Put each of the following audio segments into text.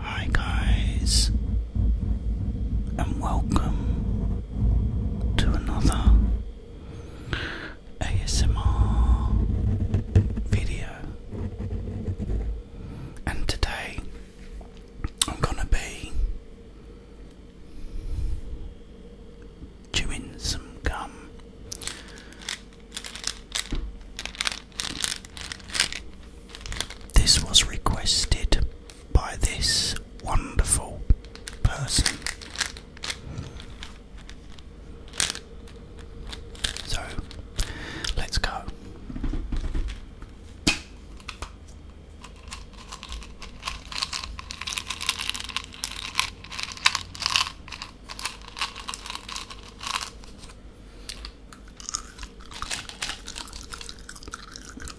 Hi guys, and welcome to another ASMR video, and today I'm gonna be chewing some gum. This was requested by this wonderful person. So let's go.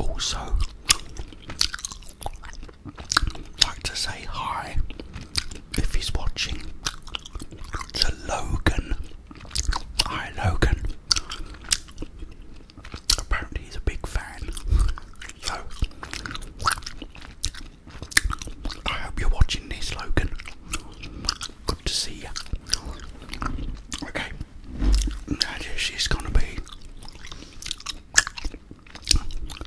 Also, like to say hi if he's watching to Logan. Hi, Logan apparently he's a big fan. So I hope you're watching this, Logan. Good to see you. Okay, now gonna be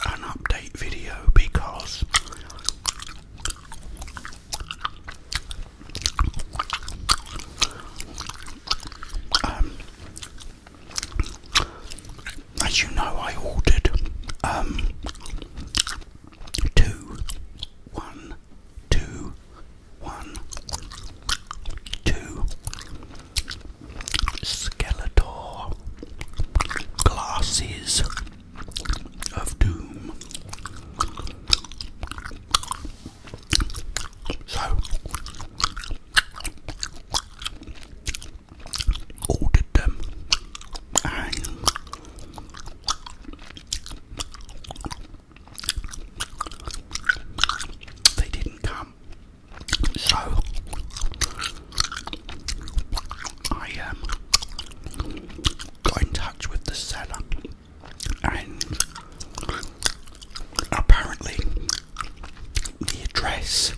an update video because um, as you know, I ordered um, two, one, two, one, two Skeletor glasses of doom. So, ordered them they didn't come. So, I um, got in touch with the seller and apparently the address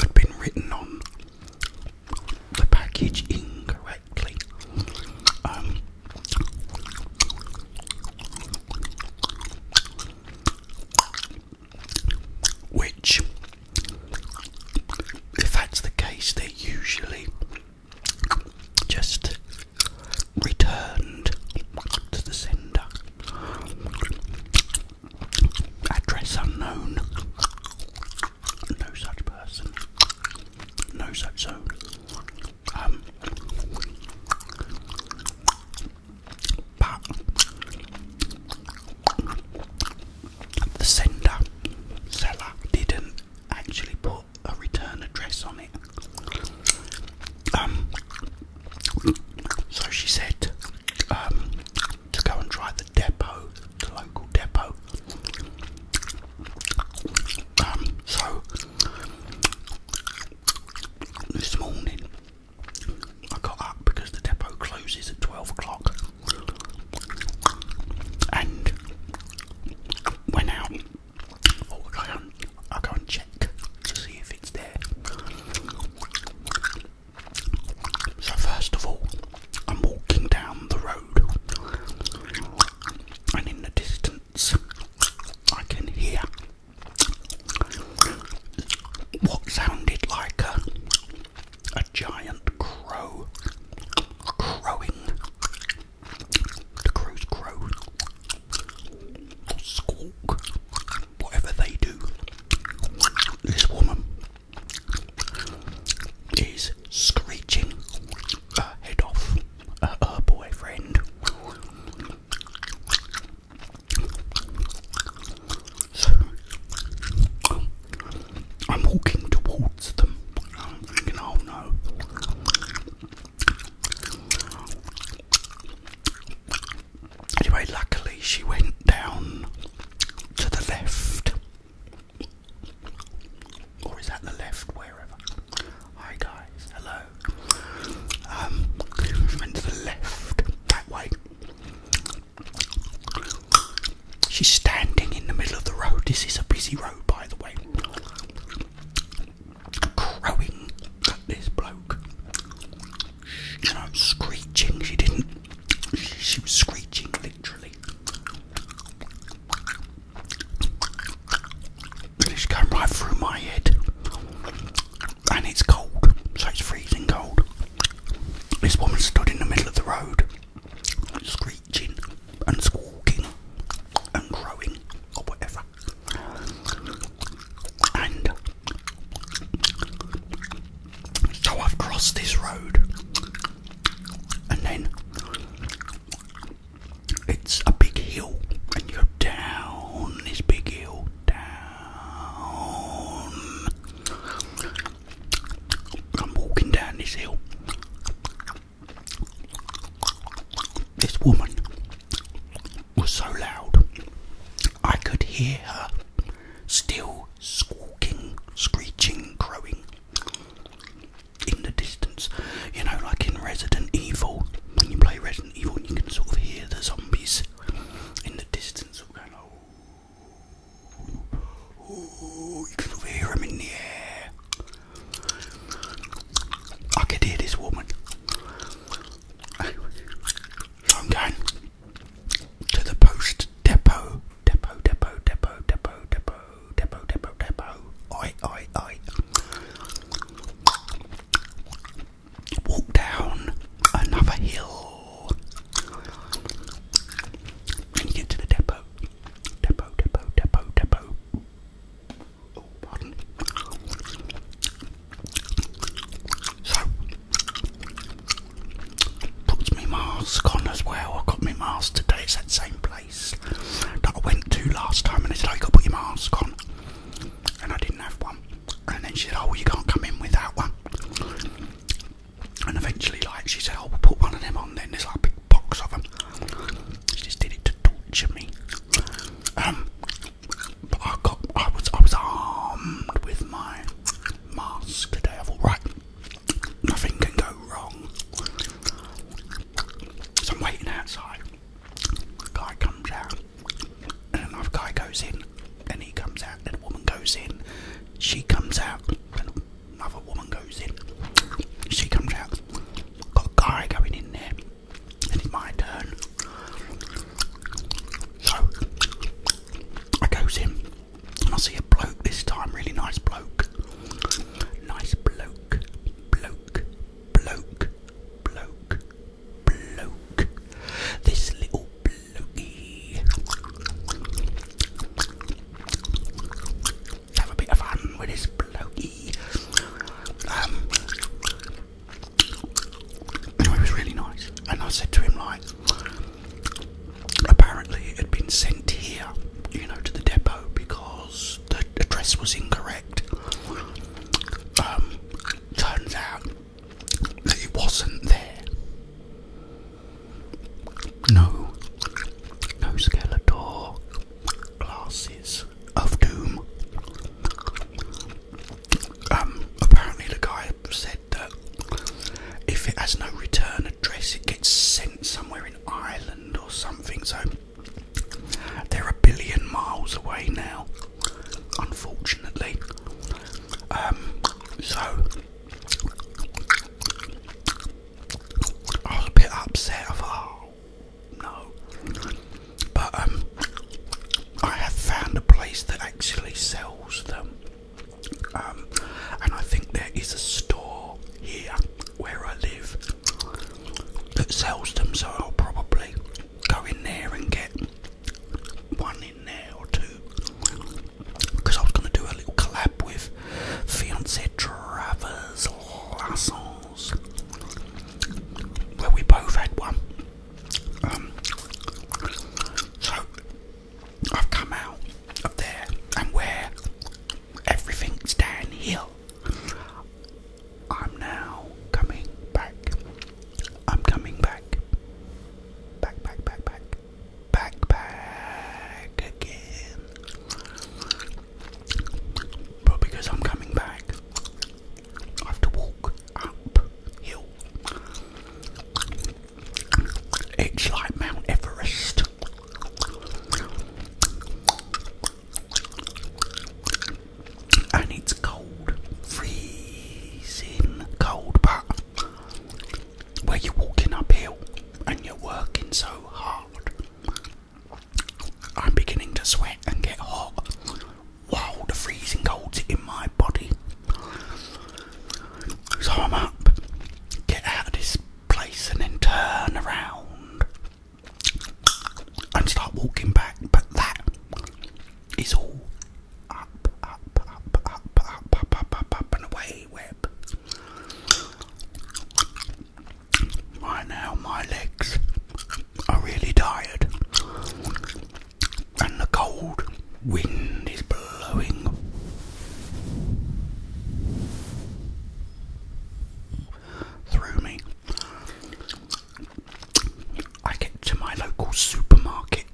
had been written on the package incorrectly. Um, which, if that's the case, they usually just returned to the sender. Address unknown. No such person. No such zone. Um, but the sender seller didn't actually put got a return address on it. Um, so she said um, to go and try the depot, the local depot. Um, so this morning I got up because the depot closes at 12 o'clock and went out I can't, I check to see if it's there. So first of all, I'm walking down the road, and in the distance, I can hear what sounded like a, a giant crow crowing. The crows crow, squawk, whatever they do. This woman is screeching head off at her boyfriend. So I'm walking towards them. I'm thinking, oh no. Anyway, luckily she went down to the left. Or is that the left? Wherever. Hi guys, hello. Um, she the left, that way. She's standing in the middle of the road. This is a busy road, by the way crowing this bloke. You know, screeching. She didn't. She was screeching literally. And it's going right through my head. And it's cold, so it's freezing cold. This woman stood in the middle of the road, screeching and squawking and crowing or whatever. And so I've crossed this road, and then it's a big hill, and you're down this big hill, down. I'm walking down this hill, this woman was so loud, I could hear her still squawking, screeching, crowing in the distance. You know, like in Resident Evil, when you play Resident Evil, you can sort of hear the zombies in the distance oh. you can hear them in the air. I can hear this woman. I'm going to the post depot, depot, depot, depot, depot, depot, depot, depot, depot. I, I, I. Walk down another hill. And you get to the depot. Depot, depot, depot, depot. Oh, pardon. So, puts me mask on as well. I got my mask today. It's that same place that I went to last time, and they said, "I oh, got put your mask on," and I didn't have one. And then she said, "Oh, you can't come in without one." And eventually, like she said, "Oh, we'll put one of them on." Then there's like a big box of them. She just did it to torture me. Um, but I got, I was, I was armed with my mask today. I nothing can go wrong. So I'm waiting outside. Guy comes out, and another guy goes in, and he comes out, and woman goes in, she comes out, and another woman goes in, she comes out, Got a guy going in there, and it's my turn. So I goes in, and I see a bloke this time, really nice bloke. Nice bloke, bloke, bloke, bloke, bloke. This little blokey have a bit of fun with his blokey. Um, anyway, was really nice. And I said to him, like, apparently it had been sent here, you know, to the depot because the address was incorrect. Um, turns out that it wasn't there. No, no Skeletor glasses of Doom. Um, apparently, the guy said that if it has no return address, it gets sent somewhere in Ireland or something. So they're a billion miles away now, unfortunately. Um, so I was a bit upset. I oh, no. But um, I have found a place that actually sells them, um, and I think there is a store here where I live that sells them. So I'll probably go in there and get one in there or two because I was going to do a little collab with fiance Travers Lasson where we both had one. Um, so I've come out up there and where everything's downhill. I'm now coming back. I'm coming back. Back, back, back, back. Back, back again. But because I'm coming back, I have to walk uphill. It's like Mount Everest. And it's cold, freezing cold, but where you're walking uphill and you're working so hard, I'm beginning to sweat and get hot. while the freezing cold's in my body. So I'm up, get out of this place, and then turn around and start walking back. But that is all up, up, up, up, up, up, up, up and away, web. Right now, my legs are really tired, and the cold wind is blowing. Through me, I get to my local supermarket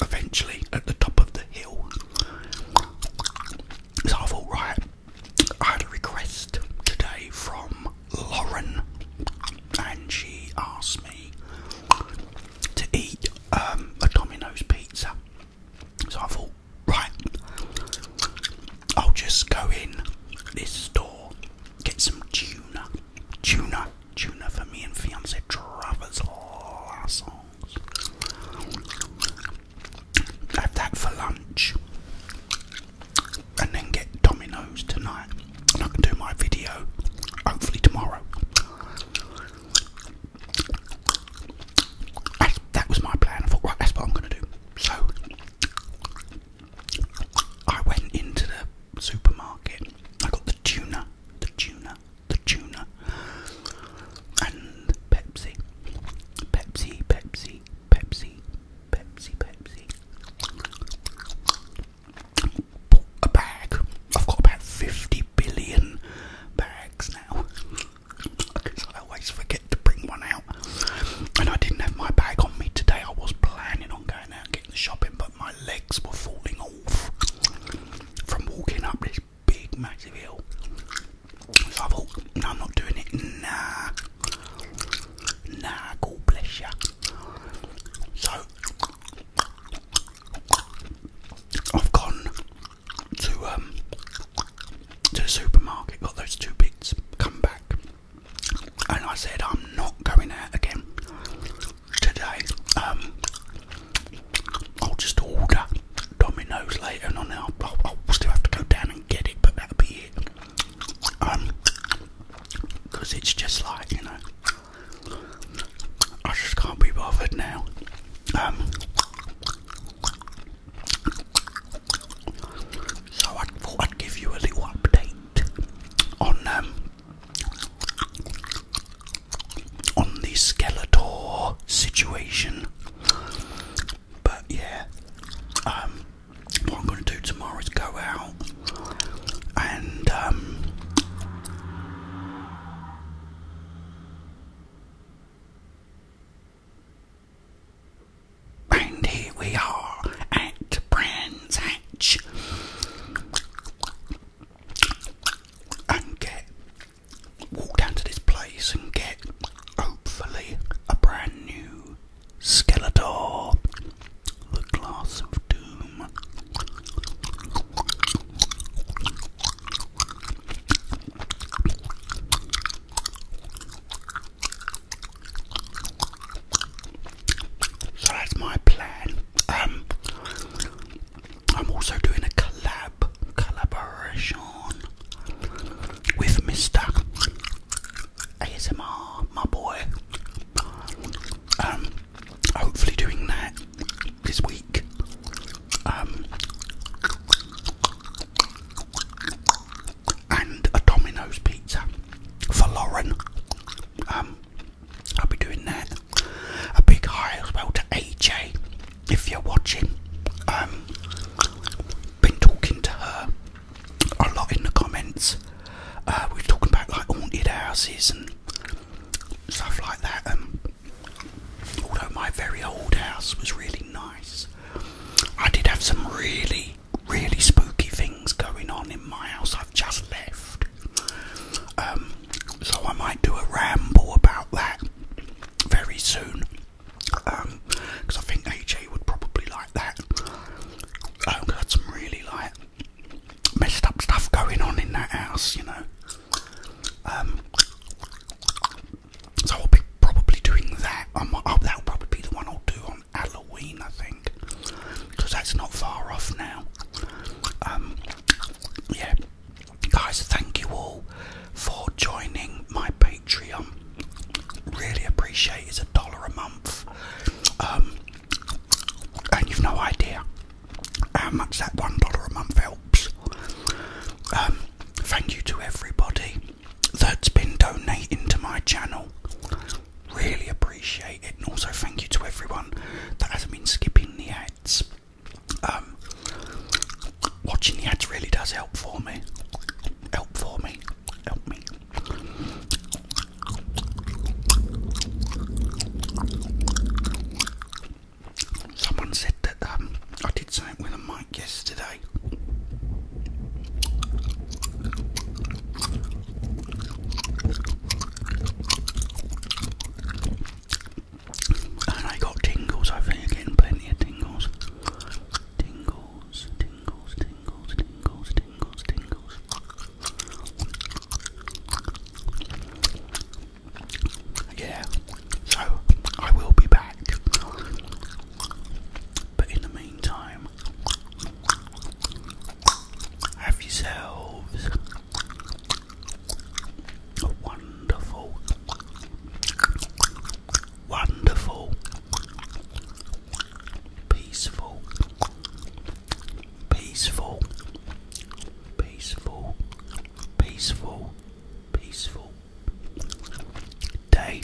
eventually at the top of the hill. So I thought, I had a request today from Lauren, and she asked me to eat um, a Domino's pizza. So I thought, right, I'll just go in this store, get some tuna, tuna, tuna for me and fiance all last songs have that for lunch and then get Domino's tonight. And I can do my video hopefully tomorrow. that was my plan. I thought, right, that's what I'm going to do. So I went into the supermarket. I got the tuna, the tuna, the tuna, and Pepsi. Pepsi, Pepsi, Pepsi, Pepsi, Pepsi. A bag. I've got about 50 billion bags now. Because I always forget to bring one out. And I didn't have my bag on me today. I was planning on going out getting the shopping, but my legs were falling off from walking up this big, massive hill. I am not doing it. Nah, nah, God bless ya. So I've gone to um to the supermarket, got those two bits, come back, and I said I'm not going out again today. Um, I'll just order Domino's later and I'll, I'll still have to go down and get it, but that'll be it. Um, because it's just like you know, I just can't be bothered now. Um, so I thought I'd give you a little update on um on the Skeletor situation. But yeah, um, what I'm going to do tomorrow is go out and um, and here we are at Brands and get walk down to this place and get hopefully a brand new Skeletor, the Glass of Doom. So that's my plan. Um, I'm also doing a collab, collaboration with Mr. ASMR, my boy. Um, hopefully doing that this week. Um, and a Domino's pizza for Lauren. Um, I'll be doing that. A big hi as well to AJ if you're watching, um, been talking to her a lot in the comments. Uh, we're talking about like haunted houses and stuff like that. Um, although my very old house was really nice, I did have some really, really spooky things going on in my house. I've just left, um, so I might do a ramble about that very soon because um, I think AJ would probably like that. Um, I had some really like messed up stuff going on in that house, you know. Um, so I'll be probably doing that. Oh, that'll probably be the one I'll do on Halloween, I think, because that's not far off now. Um, yeah, guys, thank you all for joining my. Patreon. Really appreciate it's a dollar a month. Um, and you've no idea how much that one dollar a month helps. Um, thank you to everybody that's been donating to my channel. Really appreciate it, and also thank you to everyone that hasn't been skipping the ads. Um, watching the ads really does help for me. Help for me. Help me. Someone said that um, I did something with a mic yesterday. And I got tingles, I think, again, plenty of tingles. Tingles, tingles, tingles, tingles, tingles, tingles. Yeah, so I will be back. But in the meantime, have yourselves a wonderful wonderful, peaceful, peaceful, peaceful, peaceful, peaceful day.